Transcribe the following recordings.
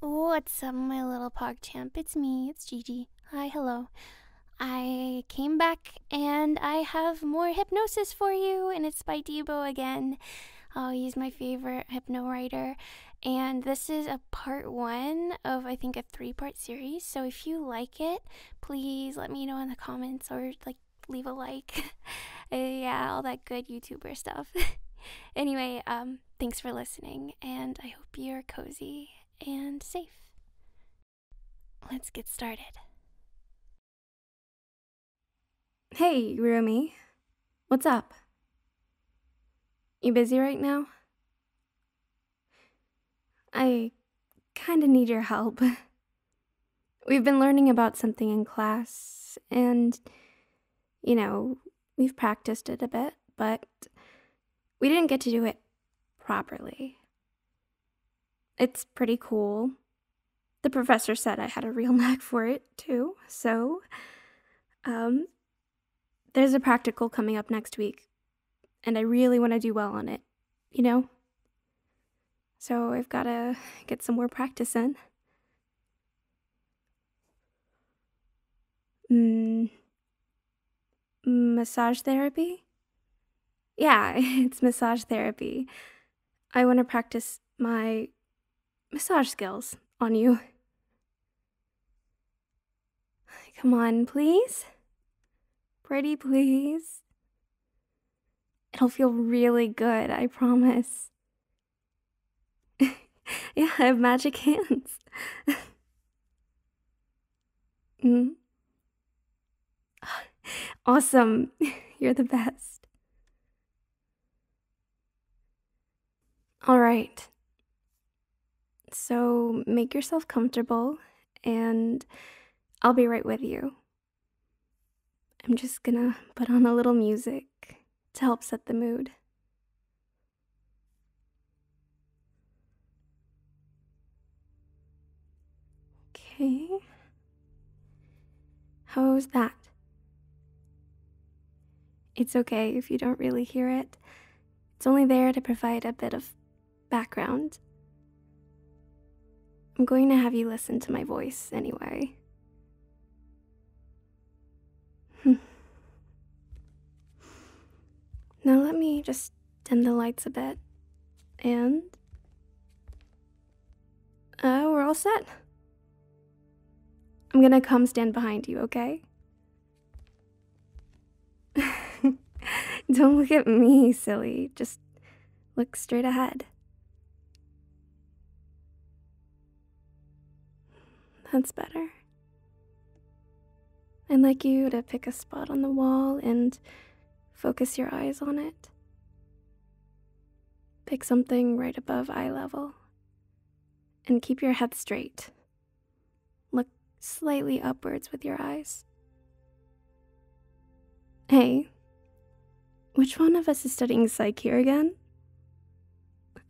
What's up, uh, my little pog champ? It's me, it's Gigi. Hi, hello. I came back and I have more hypnosis for you, and it's by Debo again. Oh, he's my favorite hypno writer. And this is a part one of, I think, a three part series. So if you like it, please let me know in the comments or like leave a like. yeah, all that good YouTuber stuff. anyway, um, um, thanks for listening, and I hope you're cozy and safe. Let's get started. Hey, Rumi. What's up? You busy right now? I kinda need your help. We've been learning about something in class, and, you know, we've practiced it a bit, but we didn't get to do it properly. It's pretty cool. The professor said I had a real knack for it too, so um, there's a practical coming up next week, and I really want to do well on it, you know? So I've got to get some more practice in. Mm, massage therapy? Yeah, it's massage therapy. I want to practice my massage skills on you. Come on, please. Pretty, please. It'll feel really good, I promise. yeah, I have magic hands. mm. Awesome. You're the best. All right. So make yourself comfortable, and I'll be right with you. I'm just gonna put on a little music to help set the mood. Okay. How's that? It's okay if you don't really hear it. It's only there to provide a bit of background. I'm going to have you listen to my voice anyway. Hmm. now let me just dim the lights a bit. And. oh, we're all set. I'm gonna come stand behind you, okay? Don't look at me, silly. Just look straight ahead. That's better. I'd like you to pick a spot on the wall and focus your eyes on it. Pick something right above eye level. And keep your head straight. Look slightly upwards with your eyes. Hey, which one of us is studying psych here again?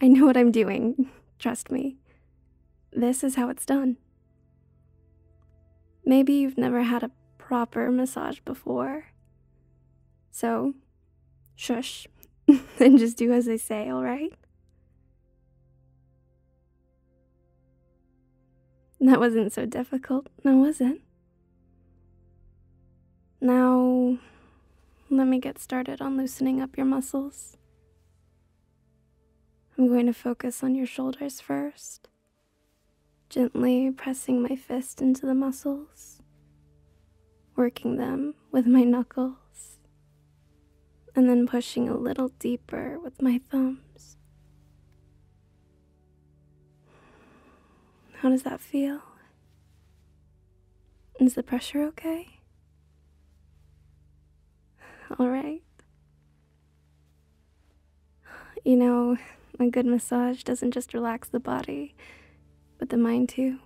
I know what I'm doing, trust me. This is how it's done. Maybe you've never had a proper massage before. So, shush, and just do as I say, alright? That wasn't so difficult, now was it? Now, let me get started on loosening up your muscles. I'm going to focus on your shoulders first, gently pressing my fist into the muscles, working them with my knuckles, and then pushing a little deeper with my thumbs. How does that feel? Is the pressure okay? Alright. You know, a good massage doesn't just relax the body, but the mind too.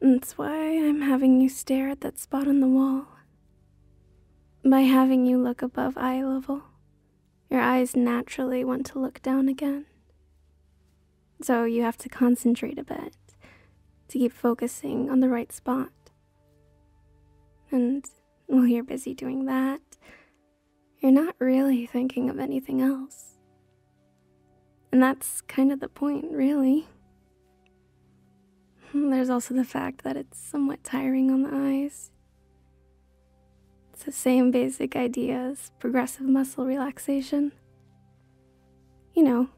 That's why I'm having you stare at that spot on the wall. By having you look above eye level, your eyes naturally want to look down again. So you have to concentrate a bit to keep focusing on the right spot. And while you're busy doing that, you're not really thinking of anything else. And that's kind of the point, really. There's also the fact that it's somewhat tiring on the eyes. It's the same basic idea as progressive muscle relaxation. You know,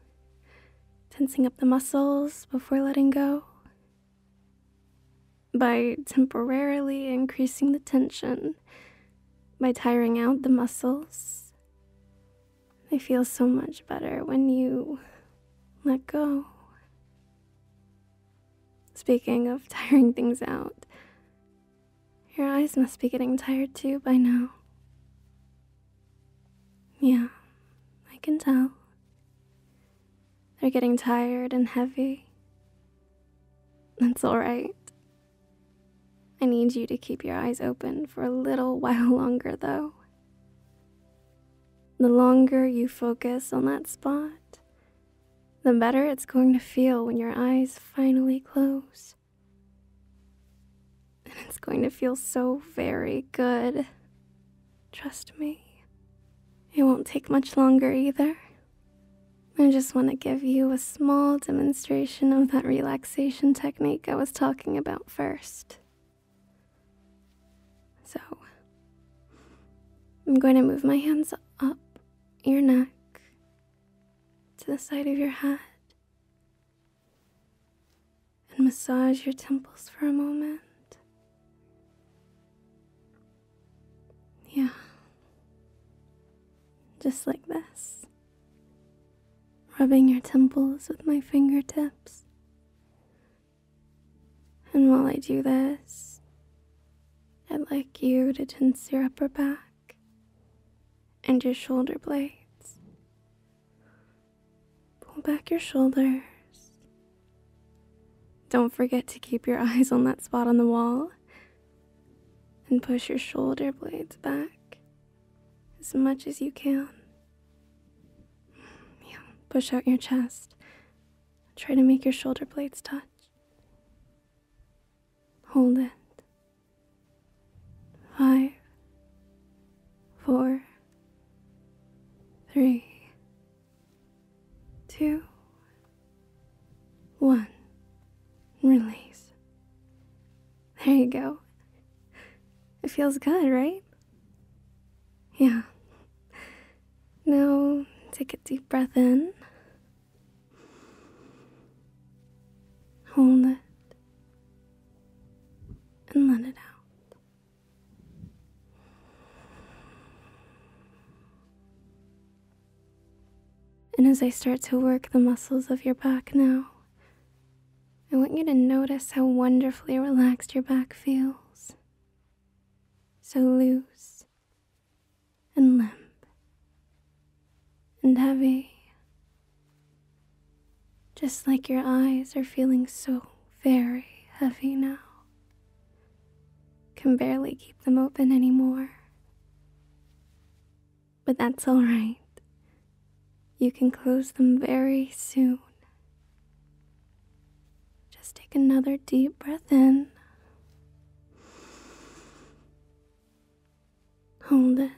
tensing up the muscles before letting go. By temporarily increasing the tension, by tiring out the muscles, they feel so much better when you let go. Speaking of tiring things out, your eyes must be getting tired too by now. Yeah, I can tell. They're getting tired and heavy. That's alright. I need you to keep your eyes open for a little while longer, though. The longer you focus on that spot, the better it's going to feel when your eyes finally close. And it's going to feel so very good. Trust me. It won't take much longer either. I just want to give you a small demonstration of that relaxation technique I was talking about first. So, I'm going to move my hands up your neck, to the side of your head, and massage your temples for a moment. Yeah, just like this. Rubbing your temples with my fingertips. And while I do this, I'd like you to tense your upper back and your shoulder blades. Pull back your shoulders. Don't forget to keep your eyes on that spot on the wall and push your shoulder blades back as much as you can. Yeah, push out your chest. Try to make your shoulder blades touch. Hold it. Five, four, three, two, one. Release. There you go. It feels good, right? Yeah. Now, take a deep breath in. Hold it and let it out. And as I start to work the muscles of your back now, I want you to notice how wonderfully relaxed your back feels. So loose and limp and heavy, just like your eyes are feeling so very heavy now. Can barely keep them open anymore. But that's alright. You can close them very soon. Just take another deep breath in. Hold it.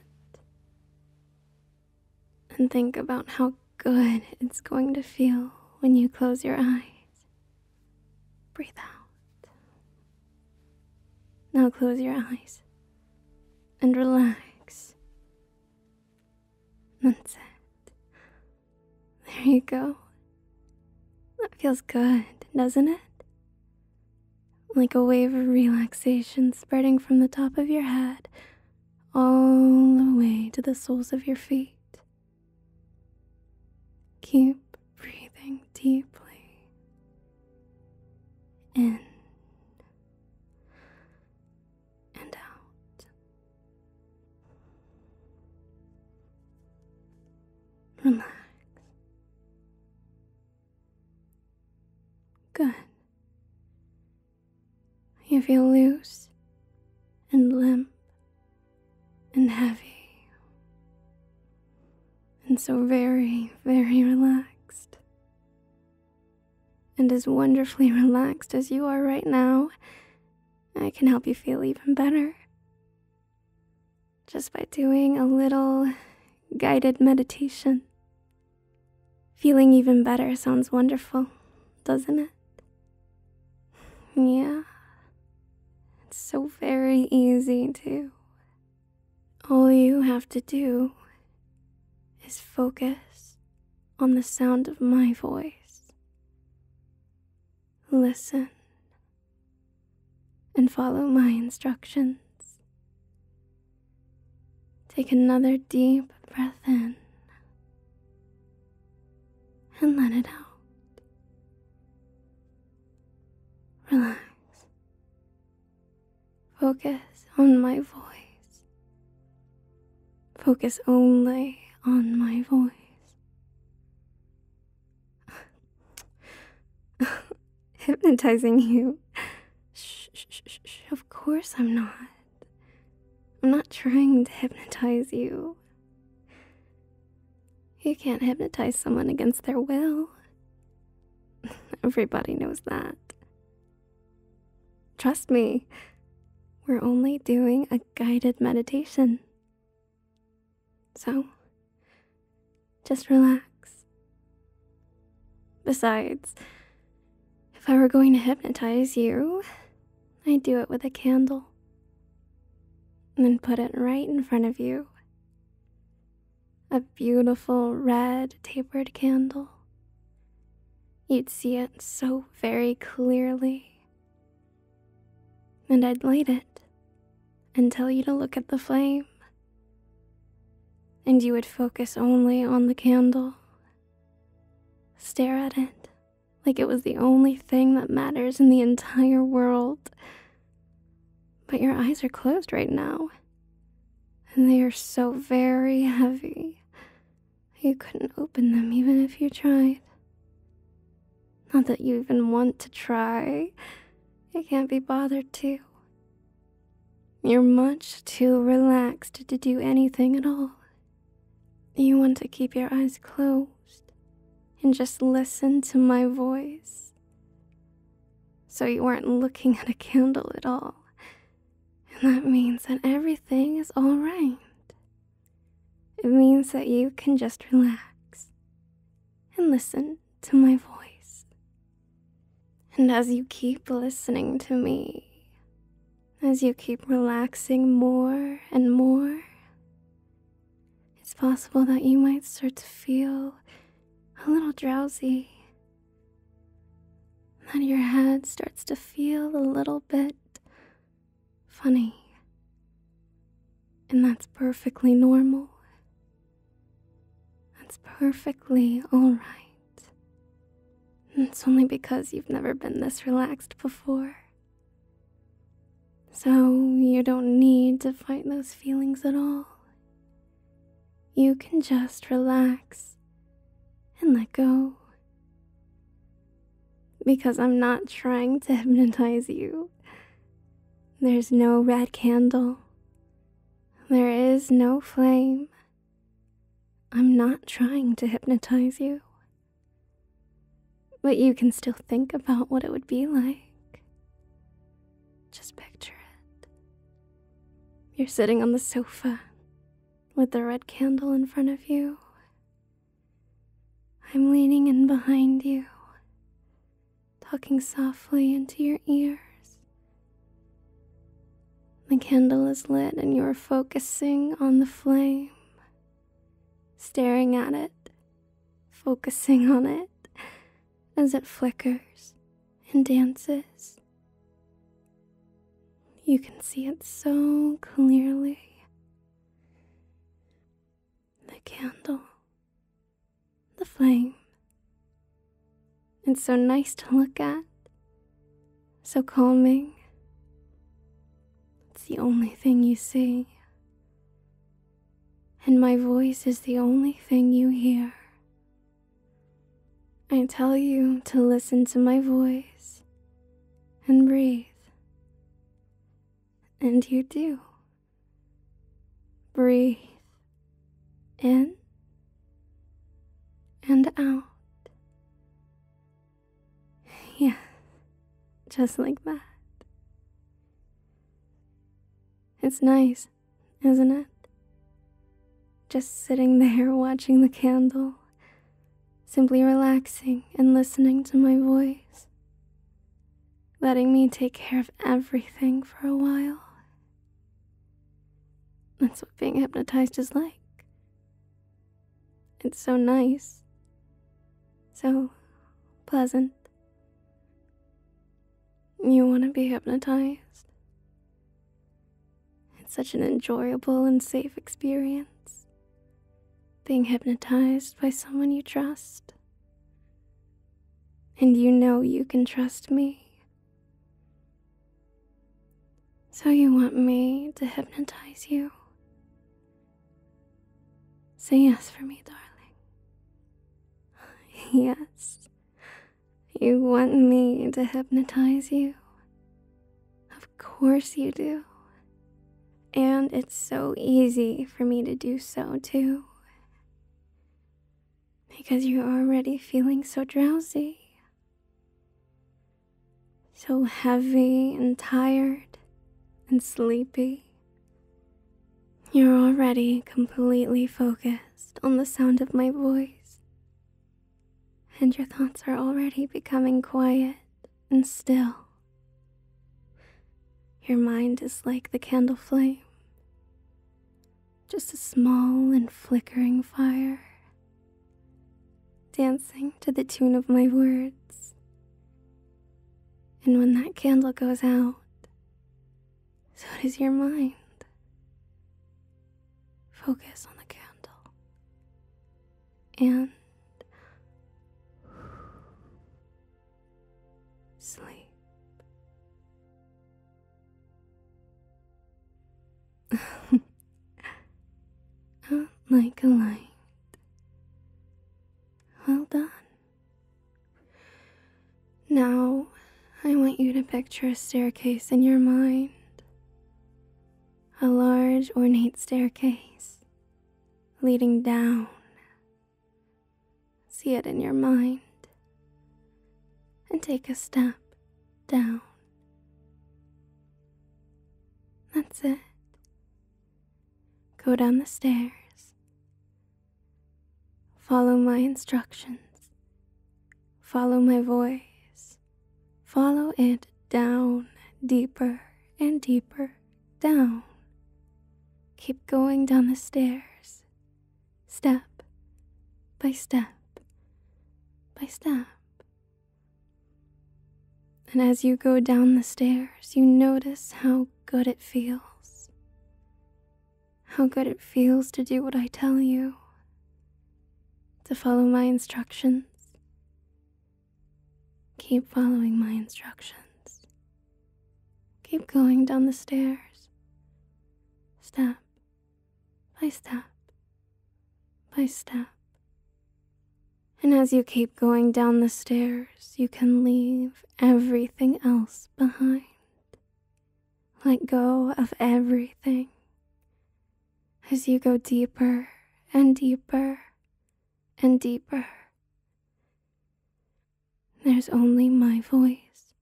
And think about how good it's going to feel when you close your eyes. Breathe out. Now close your eyes and relax. Then sit. There you go. That feels good, doesn't it? Like a wave of relaxation spreading from the top of your head all the way to the soles of your feet. Keep breathing deeply in and out. Relax. Good. You feel loose and limp and heavy and so very, very relaxed. And as wonderfully relaxed as you are right now, I can help you feel even better. Just by doing a little guided meditation. Feeling even better sounds wonderful, doesn't it? Yeah. It's so very easy, to. All you have to do is focus on the sound of my voice listen, and follow my instructions. Take another deep breath in and let it out. Relax. Focus on my voice Focus only on my voice. Hypnotizing you. Of course I'm not. I'm not trying to hypnotize you. You can't hypnotize someone against their will. Everybody knows that. Trust me, we're only doing a guided meditation. So, just relax. Besides, if I were going to hypnotize you, I'd do it with a candle and then put it right in front of you. A beautiful red tapered candle. You'd see it so very clearly. And I'd light it and tell you to look at the flame. And you would focus only on the candle, stare at it like it was the only thing that matters in the entire world. But your eyes are closed right now, and they are so very heavy. You couldn't open them even if you tried. Not that you even want to try. You can't be bothered to. You're much too relaxed to do anything at all. You want to keep your eyes closed and just listen to my voice. So you are not looking at a candle at all. And that means that everything is alright. It means that you can just relax and listen to my voice. And as you keep listening to me, as you keep relaxing more and more, it's possible that you might start to feel a little drowsy. That your head starts to feel a little bit funny. And that's perfectly normal. That's perfectly alright. It's only because you've never been this relaxed before. So you don't need to fight those feelings at all. You can just relax and let go because I'm not trying to hypnotize you. There's no red candle. There is no flame. I'm not trying to hypnotize you. But you can still think about what it would be like. Just picture it. You're sitting on the sofa, with the red candle in front of you. I'm leaning in behind you, talking softly into your ears. The candle is lit and you are focusing on the flame, staring at it, focusing on it as it flickers and dances you can see it so clearly. The candle, the flame. It's so nice to look at, so calming. It's the only thing you see. And my voice is the only thing you hear. I tell you to listen to my voice and breathe. And you do. Breathe in and out. Yeah, just like that. It's nice, isn't it? Just sitting there watching the candle simply relaxing and listening to my voice, letting me take care of everything for a while. That's what being hypnotized is like. It's so nice, so pleasant. You want to be hypnotized? It's such an enjoyable and safe experience. Being hypnotized by someone you trust. And you know you can trust me. So you want me to hypnotize you? Say yes for me, darling. yes. You want me to hypnotize you? Of course you do. And it's so easy for me to do so too. Because you're already feeling so drowsy, so heavy and tired and sleepy. You're already completely focused on the sound of my voice and your thoughts are already becoming quiet and still. Your mind is like the candle flame, just a small and flickering fire, dancing to the tune of my words. And when that candle goes out, so does your mind. Focus on the candle and sleep. Oh, like a light. Well done. Now, I want you to picture a staircase in your mind a large ornate staircase leading down. See it in your mind and take a step down. That's it. Go down the stairs. Follow my instructions. Follow my voice. Follow it down, deeper and deeper down. Keep going down the stairs, step by step by step. And as you go down the stairs, you notice how good it feels. How good it feels to do what I tell you, to follow my instructions. Keep following my instructions. Keep going down the stairs, step by step by step. And as you keep going down the stairs, you can leave everything else behind. Let go of everything as you go deeper and deeper and deeper. There's only my voice.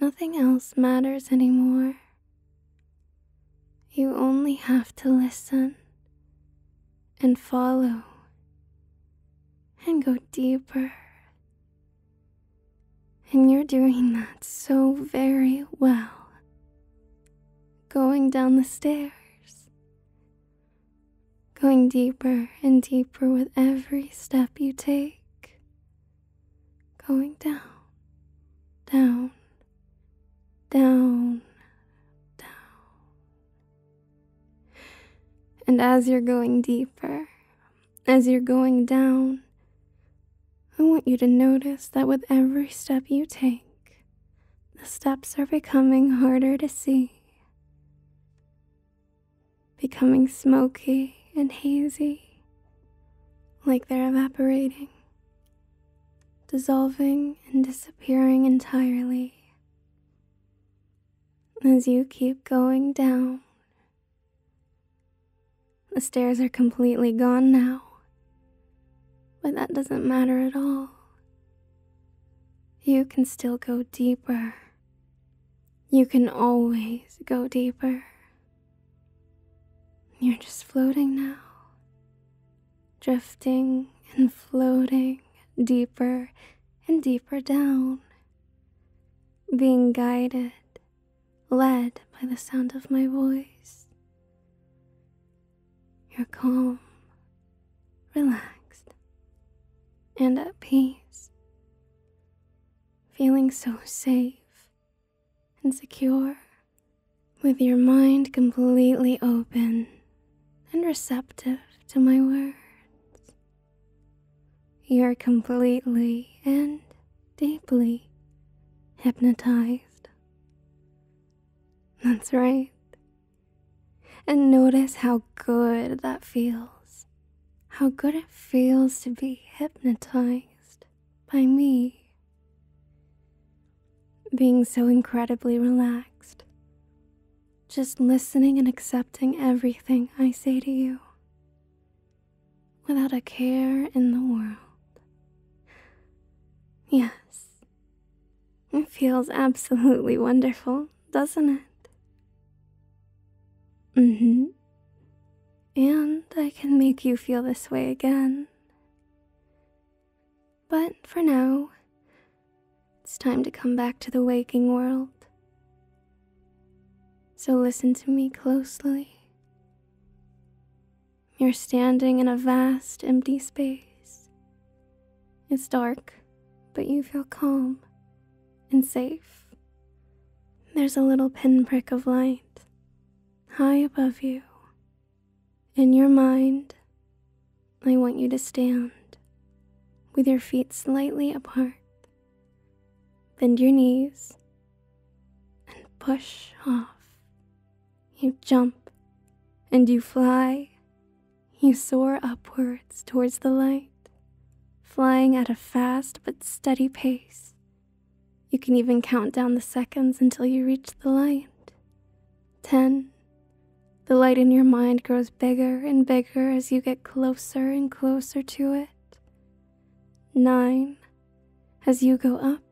Nothing else matters anymore. You only have to listen and follow and go deeper and you're doing that so very well. Going down the stairs, going deeper and deeper with every step you take. Going down, down, down, down. And as you're going deeper, as you're going down, I want you to notice that with every step you take, the steps are becoming harder to see, becoming smoky and hazy, like they're evaporating, dissolving and disappearing entirely. As you keep going down, the stairs are completely gone now, but that doesn't matter at all. You can still go deeper. You can always go deeper. You're just floating now, drifting and floating deeper and deeper down, being guided led by the sound of my voice. You're calm, relaxed, and at peace, feeling so safe and secure, with your mind completely open and receptive to my words. You're completely and deeply hypnotized. That's right. And notice how good that feels. How good it feels to be hypnotized by me. Being so incredibly relaxed. Just listening and accepting everything I say to you without a care in the world. Yes, it feels absolutely wonderful, doesn't it? Mm hmm. And I can make you feel this way again. But for now, it's time to come back to the waking world so listen to me closely. You're standing in a vast, empty space. It's dark, but you feel calm and safe. There's a little pinprick of light high above you. In your mind, I want you to stand with your feet slightly apart Bend your knees and push off. You jump and you fly. You soar upwards towards the light, flying at a fast but steady pace. You can even count down the seconds until you reach the light. Ten. The light in your mind grows bigger and bigger as you get closer and closer to it nine, as you go up,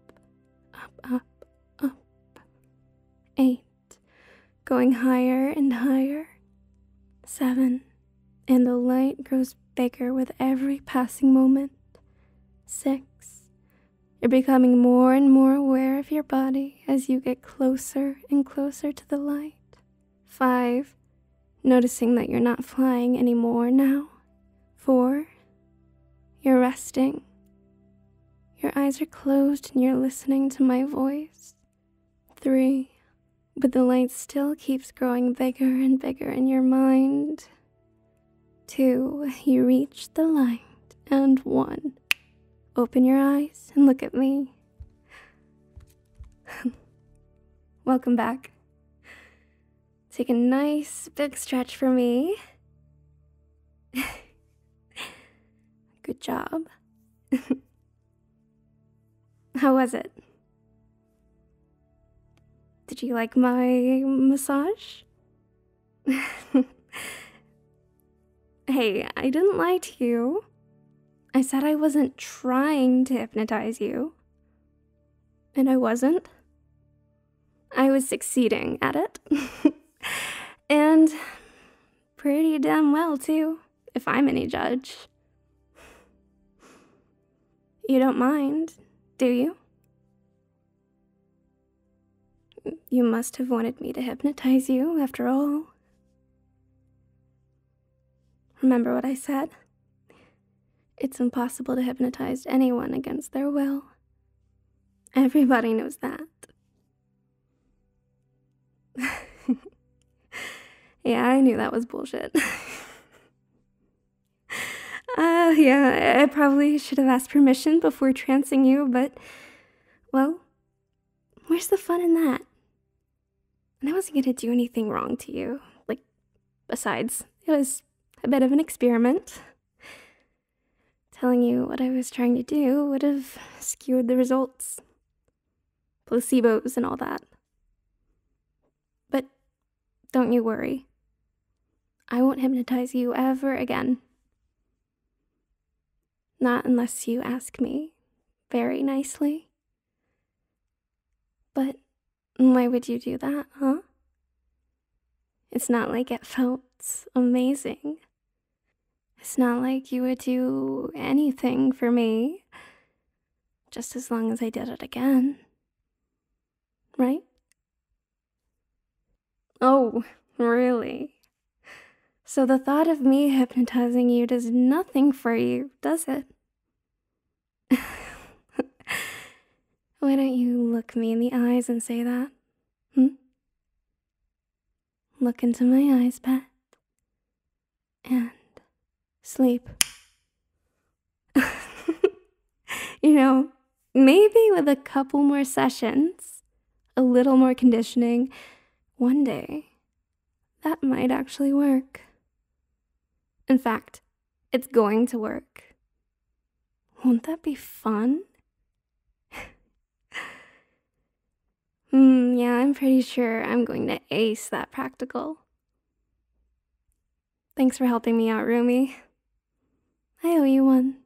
up, up, up, eight, going higher and higher, seven, and the light grows bigger with every passing moment, six, you're becoming more and more aware of your body as you get closer and closer to the light. Five, noticing that you're not flying anymore now. Four, you're resting. Your eyes are closed and you're listening to my voice. Three, but the light still keeps growing bigger and bigger in your mind. Two, you reach the light. And one, open your eyes and look at me. Welcome back. Take a nice big stretch for me. Good job. How was it? Did you like my massage? hey, I didn't lie to you. I said I wasn't trying to hypnotize you. And I wasn't. I was succeeding at it. and pretty damn well, too, if I'm any judge. You don't mind, do you? You must have wanted me to hypnotize you, after all. Remember what I said? It's impossible to hypnotize anyone against their will. Everybody knows that. yeah, I knew that was bullshit. uh, yeah, I probably should have asked permission before trancing you, but, well, where's the fun in that? And I wasn't going to do anything wrong to you. Like, besides, it was a bit of an experiment. Telling you what I was trying to do would have skewed the results. Placebos and all that. But don't you worry. I won't hypnotize you ever again. Not unless you ask me very nicely. But why would you do that, huh? It's not like it felt amazing. It's not like you would do anything for me, just as long as I did it again. Right? Oh, really? So the thought of me hypnotizing you does nothing for you does it? Why don't you look me in the eyes and say that? Hmm? Look into my eyes, Pat. And sleep. you know, maybe with a couple more sessions, a little more conditioning, one day that might actually work. In fact, it's going to work. Won't that be fun? Hmm, yeah, I'm pretty sure I'm going to ace that practical. Thanks for helping me out, Rumi. I owe you one.